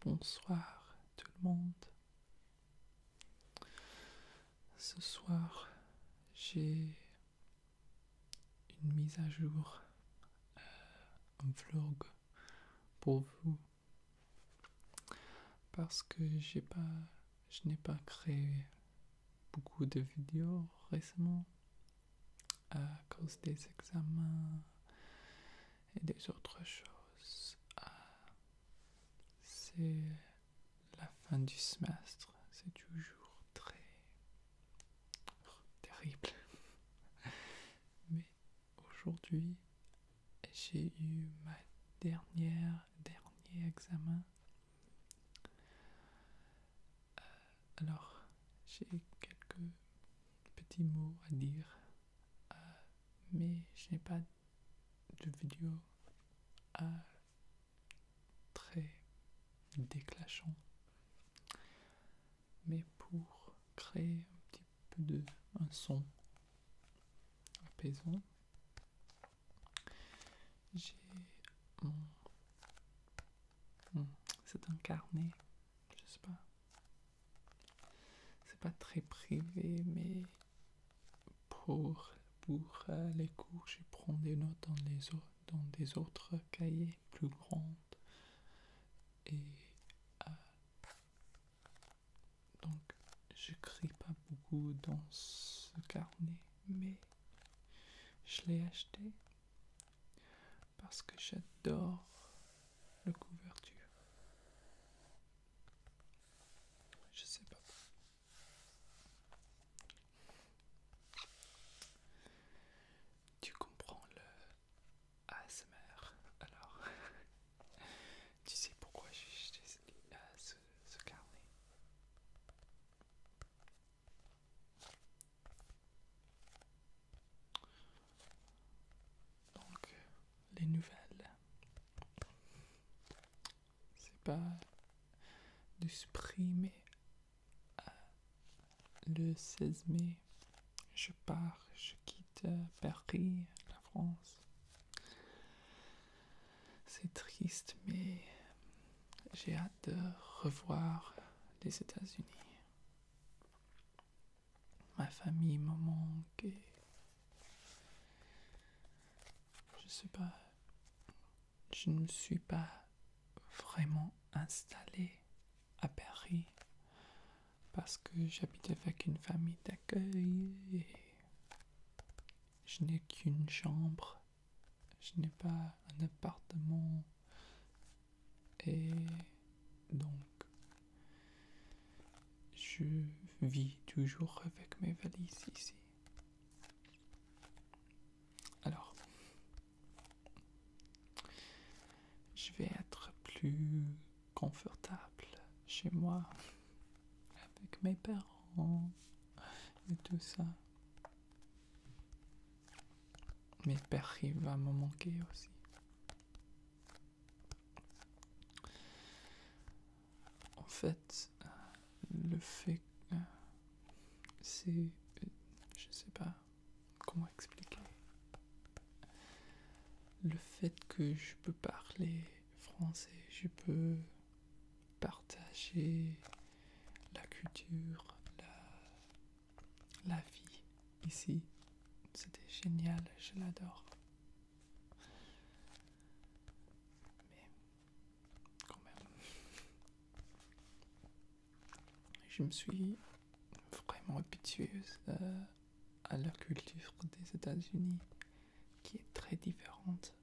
Bonsoir tout le monde. Ce soir, j'ai une mise à jour, euh, vlog pour vous. Parce que je n'ai pas créé beaucoup de vidéos récemment à cause des examens et des autres choses. Ah, c'est la fin du semestre, c'est toujours très terrible. Mais aujourd'hui, j'ai eu ma dernière, dernier examen. Euh, alors, j'ai quelques Petit mot à dire, euh, mais je n'ai pas de vidéo euh, très déclenchant. Mais pour créer un petit peu de un son apaisant, j'ai mon c'est un carnet, je sais pas, c'est pas très privé, mais pour, euh, les cours, je prends des notes dans, les dans des autres cahiers plus grands. Et je euh, donc, j'écris pas beaucoup dans ce carnet, mais je l'ai acheté parce que j'adore le couverture. Je sais pas. Tu comprends le Asmer, alors Tu sais pourquoi j'ai jeté ce carnet donc, les nouvelles. C'est pas du mais le 16 mai. Je pars, je quitte euh, Paris, la France. C'est triste, mais j'ai hâte de revoir les États-Unis. Ma famille me manque Je sais pas. Je ne me suis pas vraiment installé à Paris parce que j'habite avec une famille d'accueil et je n'ai qu'une chambre. Je n'ai pas un appartement et donc, je vis toujours avec mes valises ici. Alors, je vais être plus confortable chez moi avec mes parents et tout ça. mes pères va me manquer aussi. En fait, le fait c'est euh, je sais pas comment expliquer le fait que je peux parler français, je peux partager la culture, la, la vie ici. C'était génial, je l'adore. Mais quand même, je me suis vraiment habituée euh, à la culture des États-Unis qui est très différente.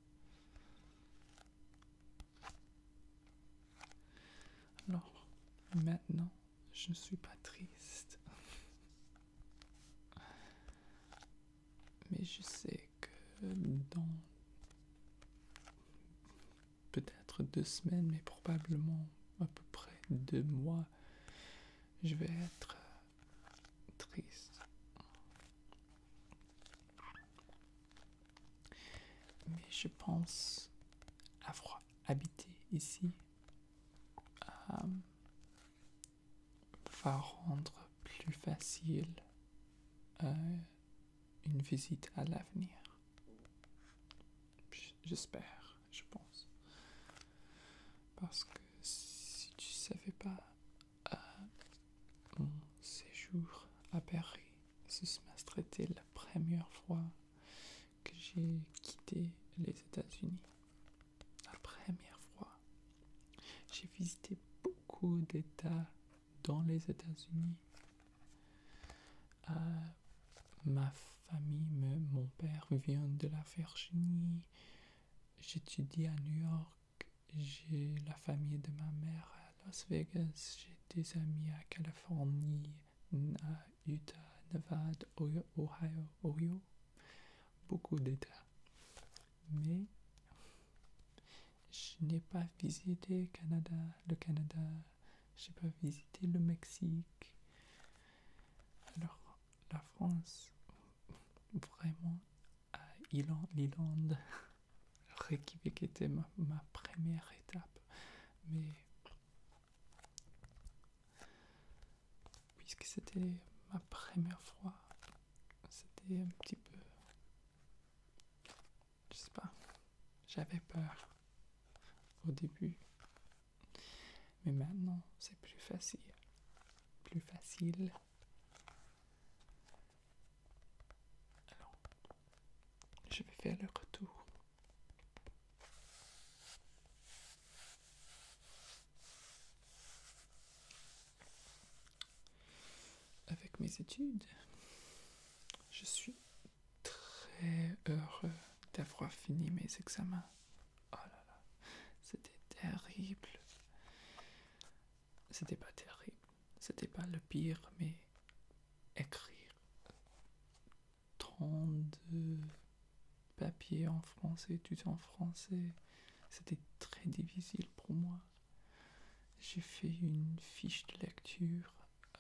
Alors, maintenant, je ne suis pas triste. Mais je sais que dans peut-être deux semaines, mais probablement à peu près deux mois, je vais être triste. Mais je pense avoir habité ici euh, va rendre plus facile euh, une visite à l'avenir. J'espère, je pense. Parce que si tu savais pas, euh, mon séjour à Paris ce semestre était la première fois que j'ai quitté les États-Unis. La première fois, j'ai visité beaucoup d'États dans les États-Unis. Euh, ma famille, mon père vient de la Virginie. J'étudie à New York. J'ai la famille de ma mère à Las Vegas. J'ai des amis à Californie, Utah, Nevada, Ohio, Ohio beaucoup d'États. Mais je n'ai pas visité Canada, le Canada, je n'ai pas visité le Mexique. Alors, la France, vraiment, l'Irlande, Reykjavik était ma, ma première étape. Mais puisque c'était ma première fois, c'était un petit peu, je sais pas, j'avais peur au début, mais maintenant c'est plus facile, plus facile. Alors, je vais faire le retour. Avec mes études, je suis très heureux d'avoir fini mes examens. Oh là là, c'était terrible. C'était pas terrible, c'était pas le pire, mais écrire 32 papier en français, tout en français. C'était très difficile pour moi. J'ai fait une fiche de lecture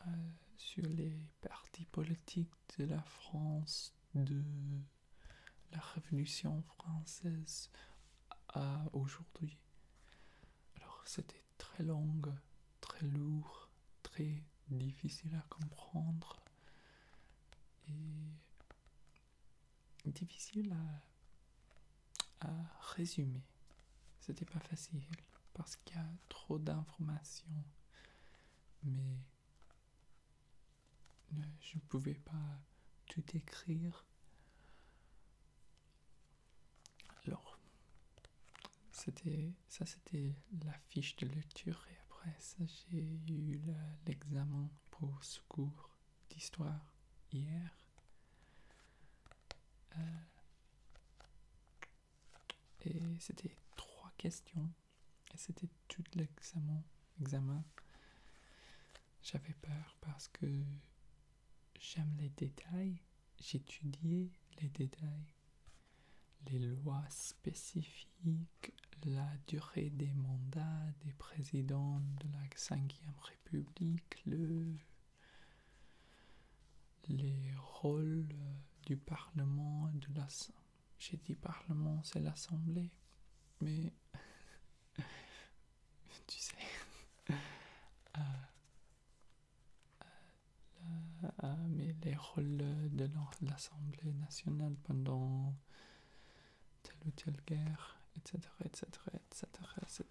euh, sur les partis politiques de la France, de la Révolution française à aujourd'hui. Alors c'était très long, très lourd, très difficile à comprendre et difficile à, résumer. C'était pas facile parce qu'il y a trop d'informations, mais je ne pouvais pas tout écrire. Alors, c'était ça, c'était la fiche de lecture et après ça, j'ai eu l'examen pour ce cours d'histoire hier. Euh, et c'était trois questions. Et c'était tout l'examen. Examen. J'avais peur parce que j'aime les détails. J'étudiais les détails. Les lois spécifiques la durée des mandats des présidents de la 5 République, le, les rôles du Parlement de l'Assemblée. J'ai dit Parlement, c'est l'Assemblée, mais tu sais, euh, euh, mais les rôles de l'Assemblée nationale pendant telle ou telle guerre, etc. etc., etc.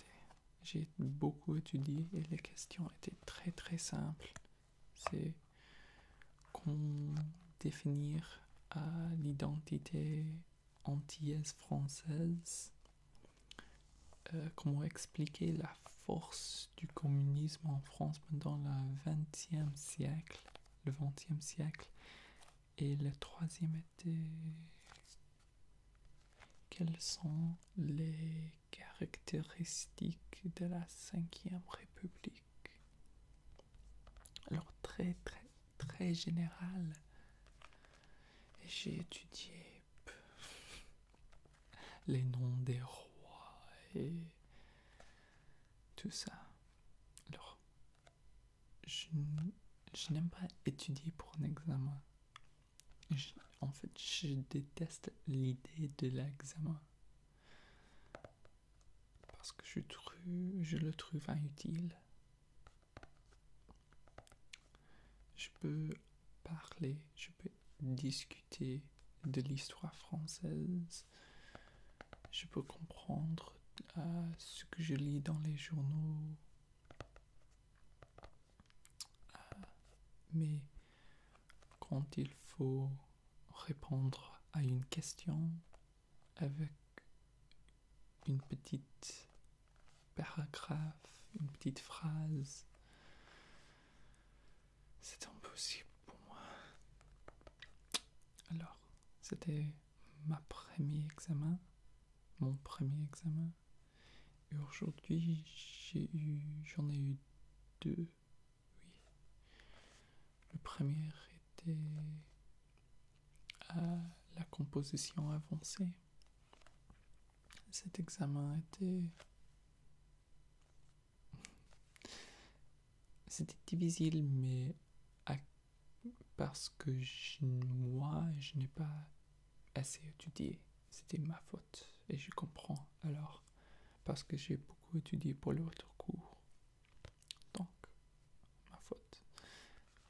J'ai beaucoup étudié et les questions étaient très très simples. C'est comment définir à euh, l'identité antillaise française, euh, comment expliquer la force du communisme en France pendant le XXe siècle, le XXe siècle, et le troisième était... Quelles sont les caractéristiques de la cinquième république Alors très très très général. J'ai étudié les noms des rois et tout ça. Alors, je, n'aime pas étudier pour un examen. en fait, je déteste l'idée de l'examen. Parce que je, trouve, je le trouve inutile. Je peux parler, je peux discuter de l'histoire française, je peux comprendre euh, ce que je lis dans les journaux. Euh, mais quand il faut répondre à une question avec une petite paragraphe, une petite phrase, c'est impossible pour moi. Alors, c'était ma premier examen, mon premier examen. Et aujourd'hui, j'ai eu, j'en ai eu deux. Oui. Le premier était à la composition avancée. Cet examen était c'était difficile mais parce que moi, je n'ai pas assez étudié. C'était ma faute et je comprends alors parce que j'ai beaucoup étudié pour l'autre cours. Donc, ma faute.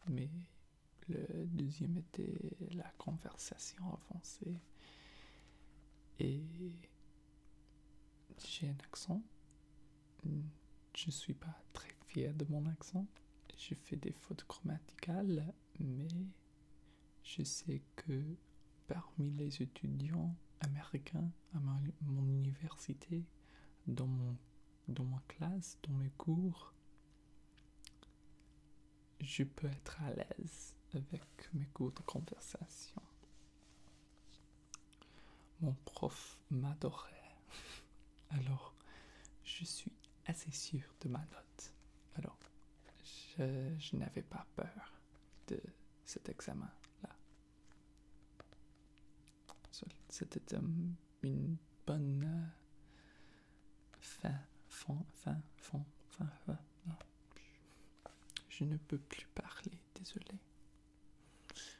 Mais le deuxième était la conversation avancée et j'ai un accent je ne suis pas très fier de mon accent. Je fais des fautes grammaticales, mais je sais que parmi les étudiants américains à mon université, mon, dans ma classe, dans mes cours, je peux être à l'aise avec mes cours de conversation. Mon prof m'adorait. Alors, je suis assez sûr de ma note. Alors, je, n'avais pas peur de cet examen-là. C'était une bonne euh, fin, Je ne peux plus parler, désolé.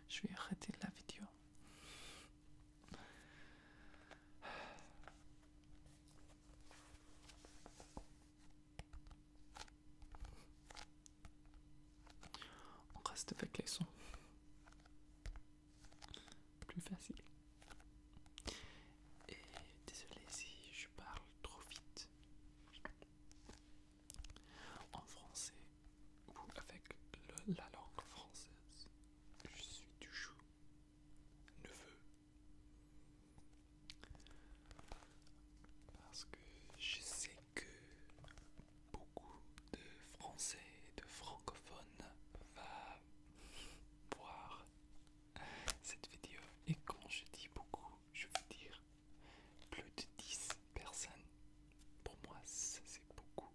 Je vais arrêter la vidéo. On reste avec les sons. Plus facile. Et désolé si je parle trop vite. En français, ou avec la langue française. Je suis toujours neveu. Parce que je sais que beaucoup de Français et de francophones va voir cette vidéo. Et quand je dis beaucoup, je veux dire plus de 10 personnes. Pour moi, c'est beaucoup.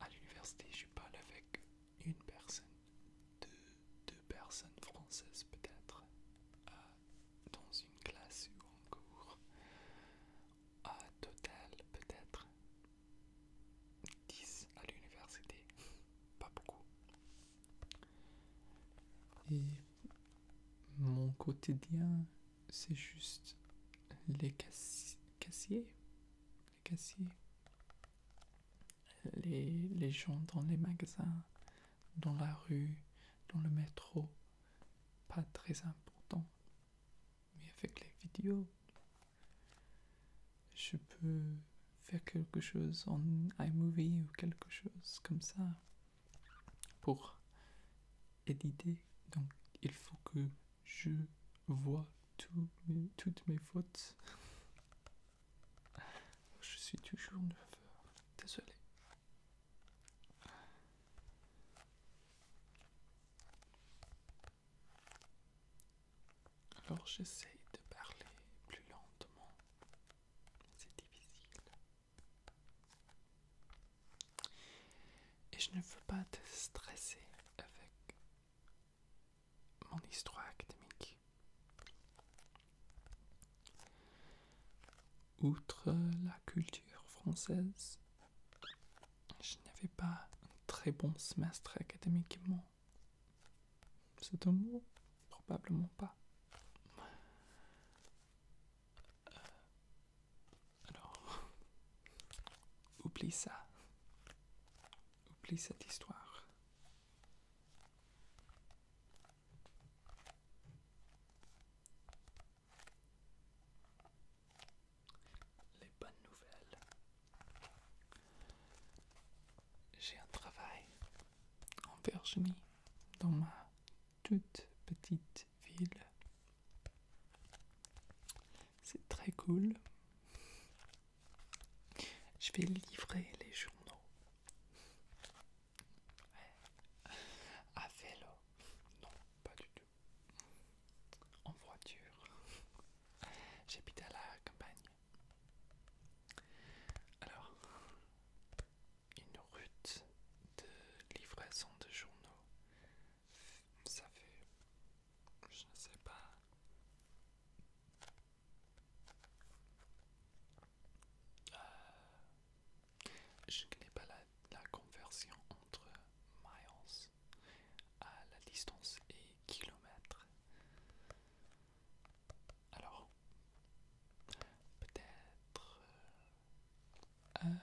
À l'université, je parle avec une personne, deux, personnes françaises peut-être, euh, dans une classe ou en cours. À total, peut-être 10 à l'université, pas beaucoup. Et mon quotidien, c'est juste les cassiers, les cassiers, les, les gens dans les magasins, dans la rue, dans le métro, pas très important. Mais avec les vidéos, je peux faire quelque chose en iMovie ou quelque chose comme ça pour éditer. Donc il faut que je vois toutes mes fautes. Je suis toujours neuf. heures. Désolé. Alors j'essaye de parler plus lentement. C'est difficile. Et je ne veux pas te stresser avec mon histoire académique. Outre la culture française, je n'avais pas un très bon semestre académiquement. C'est un mot Probablement pas. Euh, alors, oublie ça. Oublie cette histoire. Les bonnes nouvelles. J'ai un travail en Virginie, dans ma toute petite ville. C'est très cool. Je vais livrer les journaux à vélo. Non, pas du tout. En voiture. J'habite à la campagne. Alors, une route de livraison de journaux ça fait je ne sais pas euh, je connais pas la, conversion entre miles à la distance et kilomètres alors peut-être euh, 20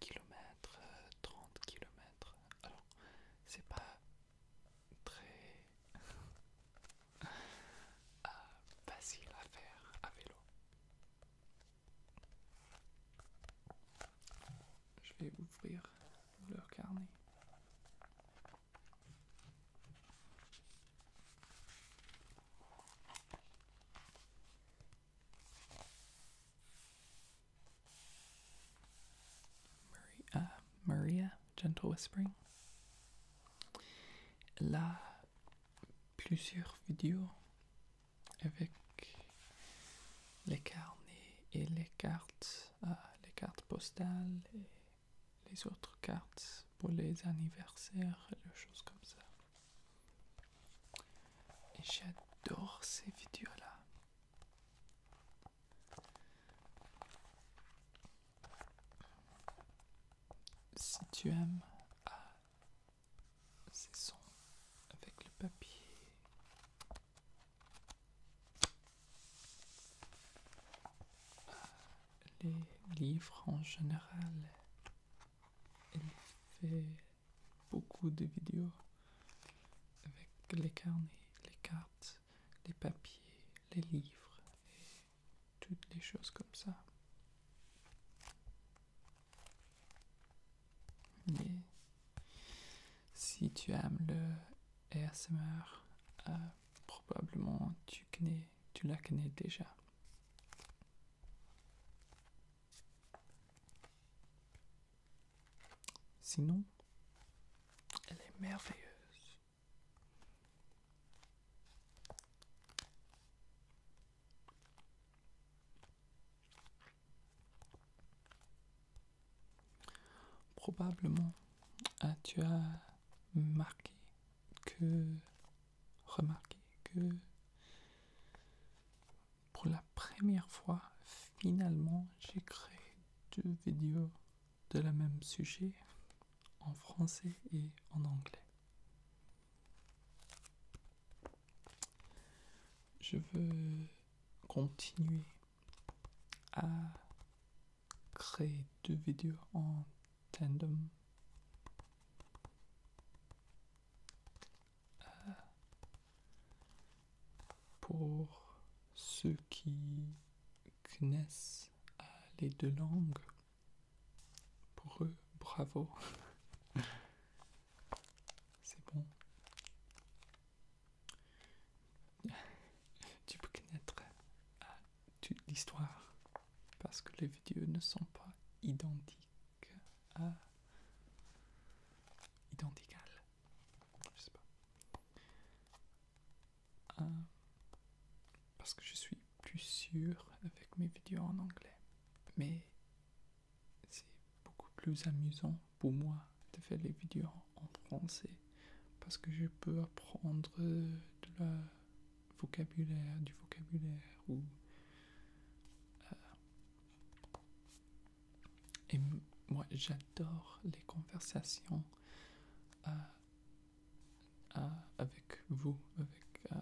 km, 30 km. Alors, c'est pas très ah, facile à faire à vélo. Je vais ouvrir leur carnet. Uh, Maria, gentle whispering. Elle plusieurs vidéos avec les carnets et les cartes, euh, les cartes postales et les autres cartes pour les anniversaires et les choses comme ça. Et j'adore ces vidéos-là. Si tu aimes à ah, ces sons avec le papier. Ah, les livres en général, beaucoup de vidéos avec les carnets, les cartes, les papiers, les livres et toutes les choses comme ça. si tu aimes le ASMR, euh, probablement tu connais, tu la connais déjà. Sinon, elle est merveilleuse. Probablement ah, tu as marqué que remarqué que pour la première fois, finalement, j'ai créé deux vidéos de la même sujet en français et en anglais. Je veux continuer à créer deux vidéos en tandem euh, pour ceux qui connaissent euh, les deux langues, pour eux, bravo. C'est bon. Tu peux connaître euh, toute l'histoire parce que les vidéos ne sont pas identiques à... Identicales. Je sais pas. Euh. parce que je suis plus sûr avec mes vidéos en anglais. Mais c'est beaucoup plus amusant pour moi de faire les vidéos en français. Parce que je peux apprendre de vocabulaire, du vocabulaire ou euh, et moi, j'adore les conversations euh, euh, avec vous, avec euh,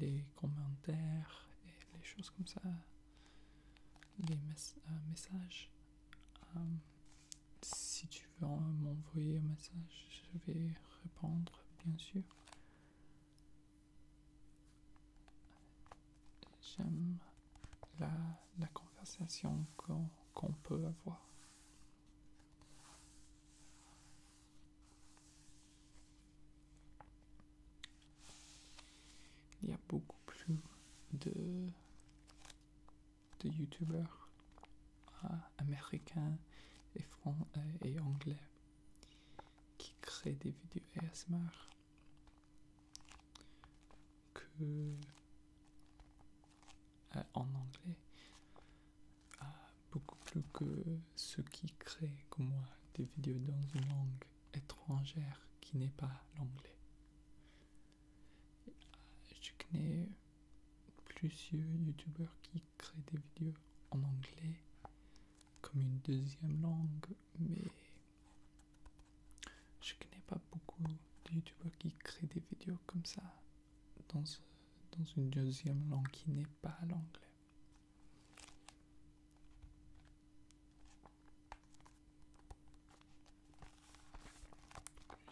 les commentaires et les choses comme ça, les messages. si tu veux m'envoyer un message, je vais répondre, bien sûr. J'aime la, la conversation qu'on peut avoir. Il y a beaucoup plus de, de youtubeurs ah, américains et, euh, et anglais qui créent des vidéos ASMR que ah, en anglais ah, beaucoup plus que ceux qui créent comme moi des vidéos dans une langue étrangère qui n'est pas l'anglais. Ah, je connais plusieurs youtubeurs qui créent des vidéos en anglais comme une deuxième langue, mais je connais pas beaucoup de youtubeurs qui créent des vidéos comme ça dans, dans une deuxième langue qui n'est pas l'anglais.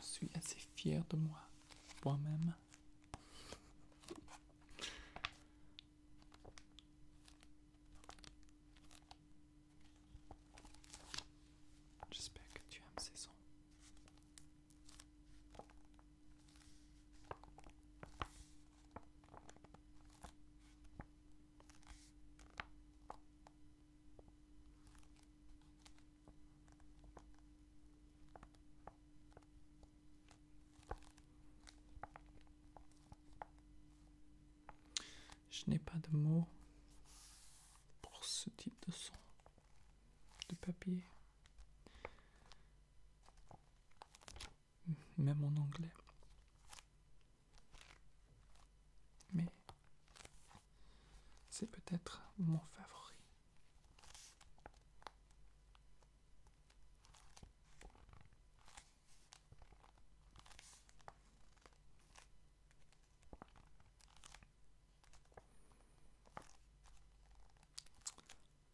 Je suis assez fier de moi, moi-même. J'espère que tu aimes ces sons. Je n'ai pas de mots pour ce type de son de papier. Même en anglais. Mais c'est peut-être mon favori.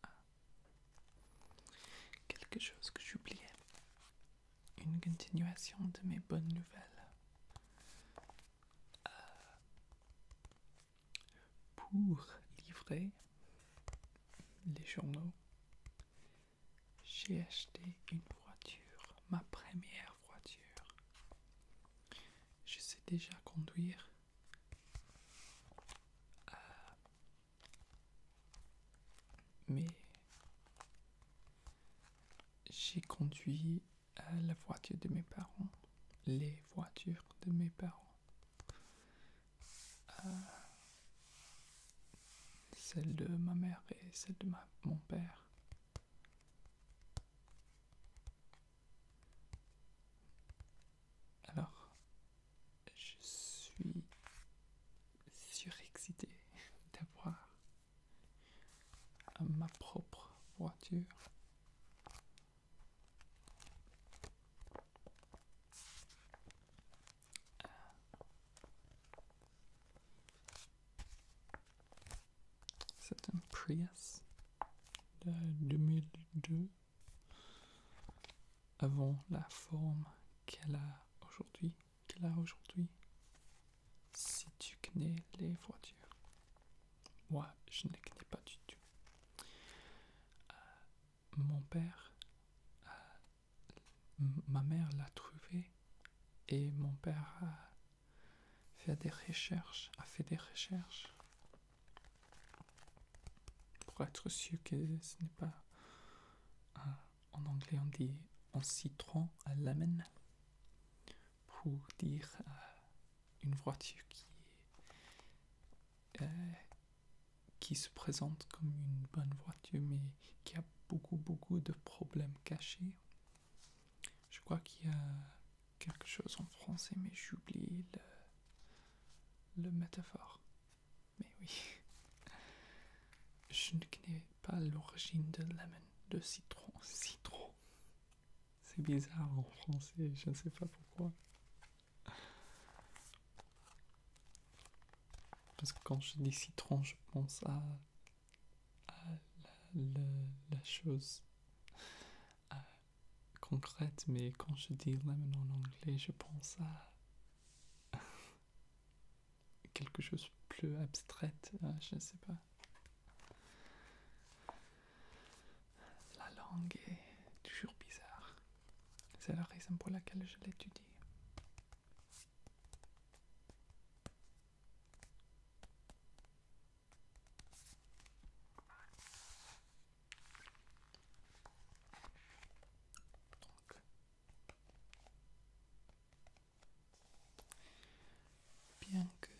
Ah. Quelque chose que j'oubliais. Une continuation de mes bonnes nouvelles. Ah. pour livrer les journaux j'ai acheté une voiture, ma première voiture. Je sais déjà conduire. Euh, mais j'ai conduit euh, la voiture de mes parents, les voitures de mes parents. Euh, celle de ma mère et celle de mon père. Alors, je suis surexcité d'avoir ma propre voiture. C'est un Prius de 2002 avant la forme qu'elle a aujourd'hui. a aujourd'hui. Si tu connais les voitures. Moi, je ne les connais pas du tout. Euh, mon père, euh, ma mère l'a trouvé et mon père a faire des recherches, a ah, fait des recherches pour être sûr que ce n'est pas euh, en anglais on dit en citron à l'amen pour dire euh, une voiture qui euh, qui se présente comme une bonne voiture mais qui a beaucoup beaucoup de problèmes cachés je crois qu'il y a quelque chose en français, mais j'oublie le, le métaphore. Mais oui. Je ne connais pas l'origine de lemon, de citron. Citron. C'est bizarre en français, je ne sais pas pourquoi. Parce que quand je dis citron, je pense à la, chose euh, concrète, mais quand je dis lemon en anglais, je pense à quelque chose plus abstraite, euh, je ne sais pas. La langue est toujours bizarre. C'est la raison pour laquelle je l'étudie. Bien que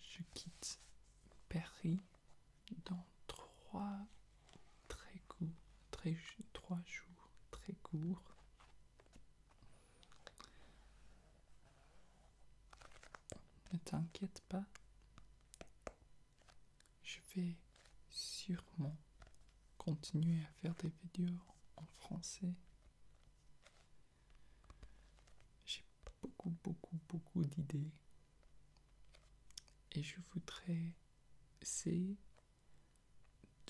je quitte Paris dans trois très courts, très, trois jours très courts, ne t'inquiète pas, je vais sûrement continuer à faire des vidéos en français. J'ai beaucoup, beaucoup, beaucoup d'idées et je voudrais essayer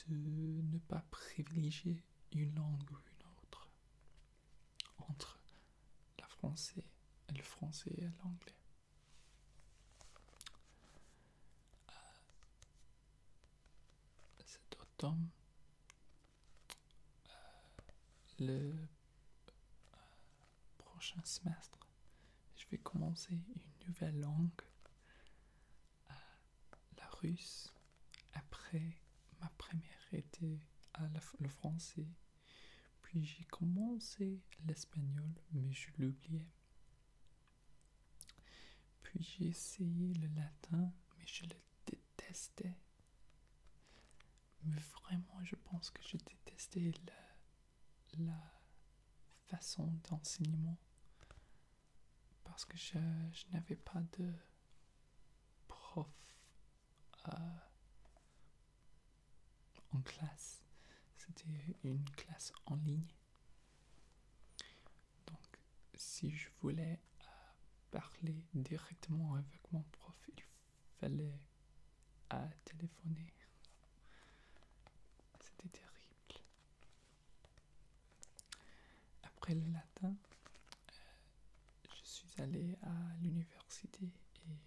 de ne pas privilégier une langue ou une autre entre la français, le français et l'anglais. Euh, cet automne, euh, le euh, prochain semestre, je vais commencer une nouvelle langue la russe. Après, ma première été à le français. Puis j'ai commencé l'espagnol, mais je l'oubliais. Puis j'ai essayé le latin, mais je le détestais. Mais vraiment, je pense que je détestais la façon d'enseignement parce que je, n'avais pas de prof euh, en classe. C'était une classe en ligne. Donc si je voulais euh, parler directement avec mon prof, il fallait euh, téléphoner. C'était terrible. Après le latin, euh, je suis allé à l'université et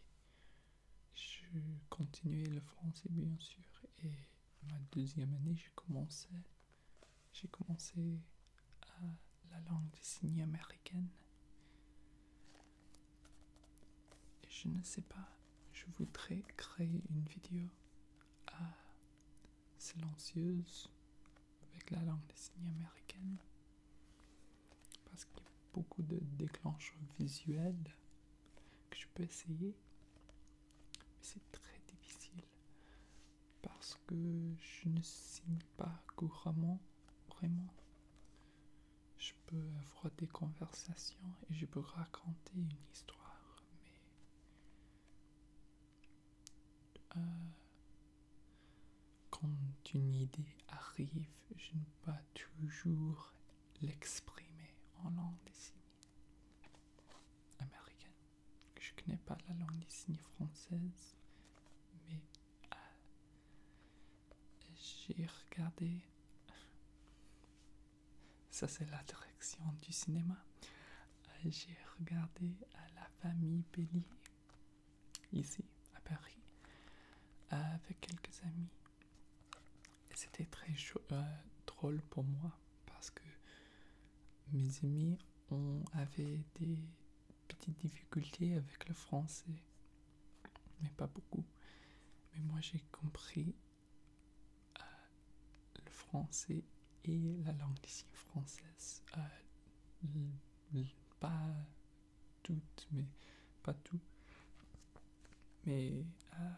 je continuais le français bien sûr et ma deuxième année j'ai commencé j'ai commencé à la langue des signes américaine je ne sais pas je voudrais créer une vidéo à silencieuse avec la langue des signes américaine parce qu'il y a beaucoup de déclencheurs visuels que je peux essayer mais c'est très difficile parce que je ne signe pas couramment vraiment je peux avoir des conversations et je peux raconter une histoire mais euh, quand une idée arrive, je ne peux pas toujours l'exprimer en langue des signes américaine. Je ne connais pas la langue des signes française, mais euh, j'ai regardé. Ça, c'est la direction du cinéma. Euh, j'ai regardé à La famille Bélier ici à Paris avec quelques amis. c'était très euh, drôle pour moi parce que mes amis ont avait des petites difficultés avec le français, mais pas beaucoup. Mais moi j'ai compris euh, le français et la langue ici française euh, pas toutes, mais pas tout. Mais euh,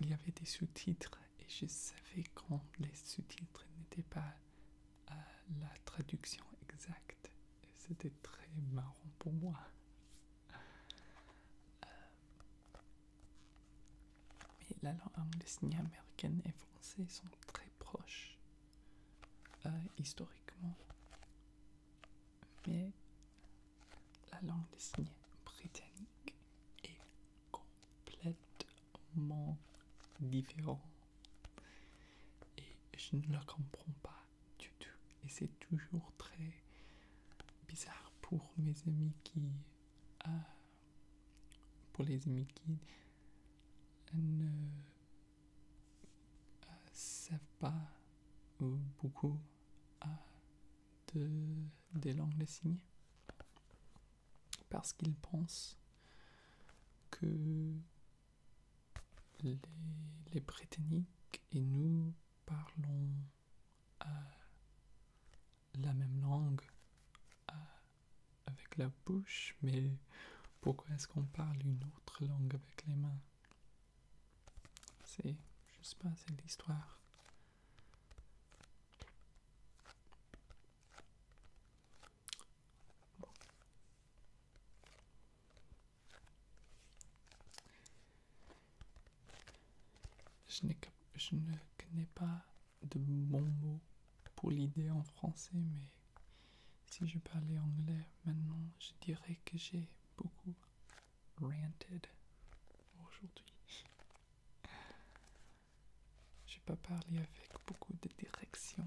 il y avait des sous-titres et je savais quand les sous-titres n'étaient pas euh, la traduction exacte. Et c'était très marrant pour moi. Euh, mais la langue des signes américaine et français sont très proches. Euh, historiquement, mais la langue des signes britannique est complètement différente et je ne la comprends pas du tout. Et c'est toujours très bizarre pour mes amis qui. Euh, pour les amis qui ne savent pas beaucoup de, des langues des parce qu'ils pensent que les, les Britanniques et nous parlons euh, la même langue euh, avec la bouche, mais pourquoi est-ce qu'on parle une autre langue avec les mains C'est, je sais pas, c'est l'histoire. Je, je ne connais pas de bons mots pour l'idée en français, mais si je parlais anglais maintenant, je dirais que j'ai beaucoup ranted aujourd'hui. J'ai pas parlé avec beaucoup de direction.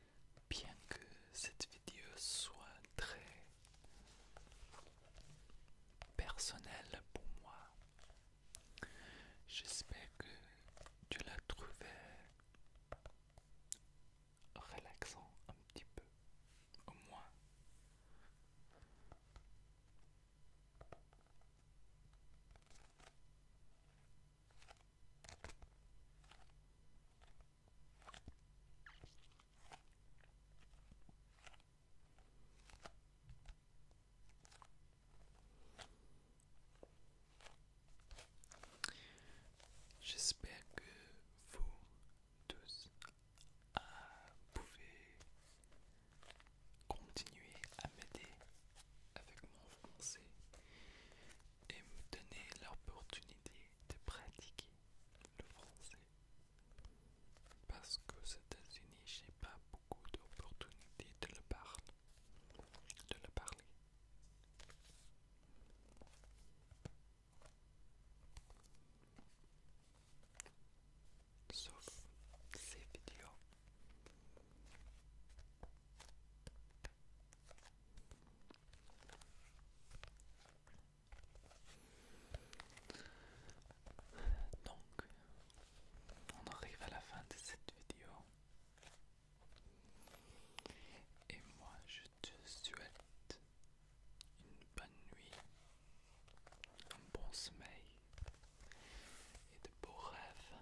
bien que cette vidéo soit très personnelle pour moi, j'espère que tu l'as trouvée relaxant un petit peu, au moins. J'espère que vous tous ah, pouvez continuer à m'aider avec mon français et me donner l'opportunité de pratiquer le français parce aux États-Unis, j'ai pas beaucoup d'opportunités de le parler. De le parler. Sauf ces vidéos. Donc, on arrive à la fin de cette vidéo. Et moi, je te souhaite une bonne nuit, un bon sommeil et de beaux rêves.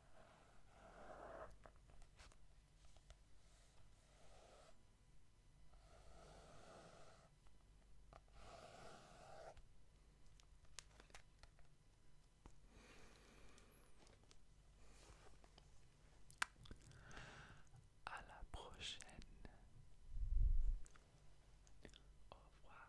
À la prochaine. Au revoir.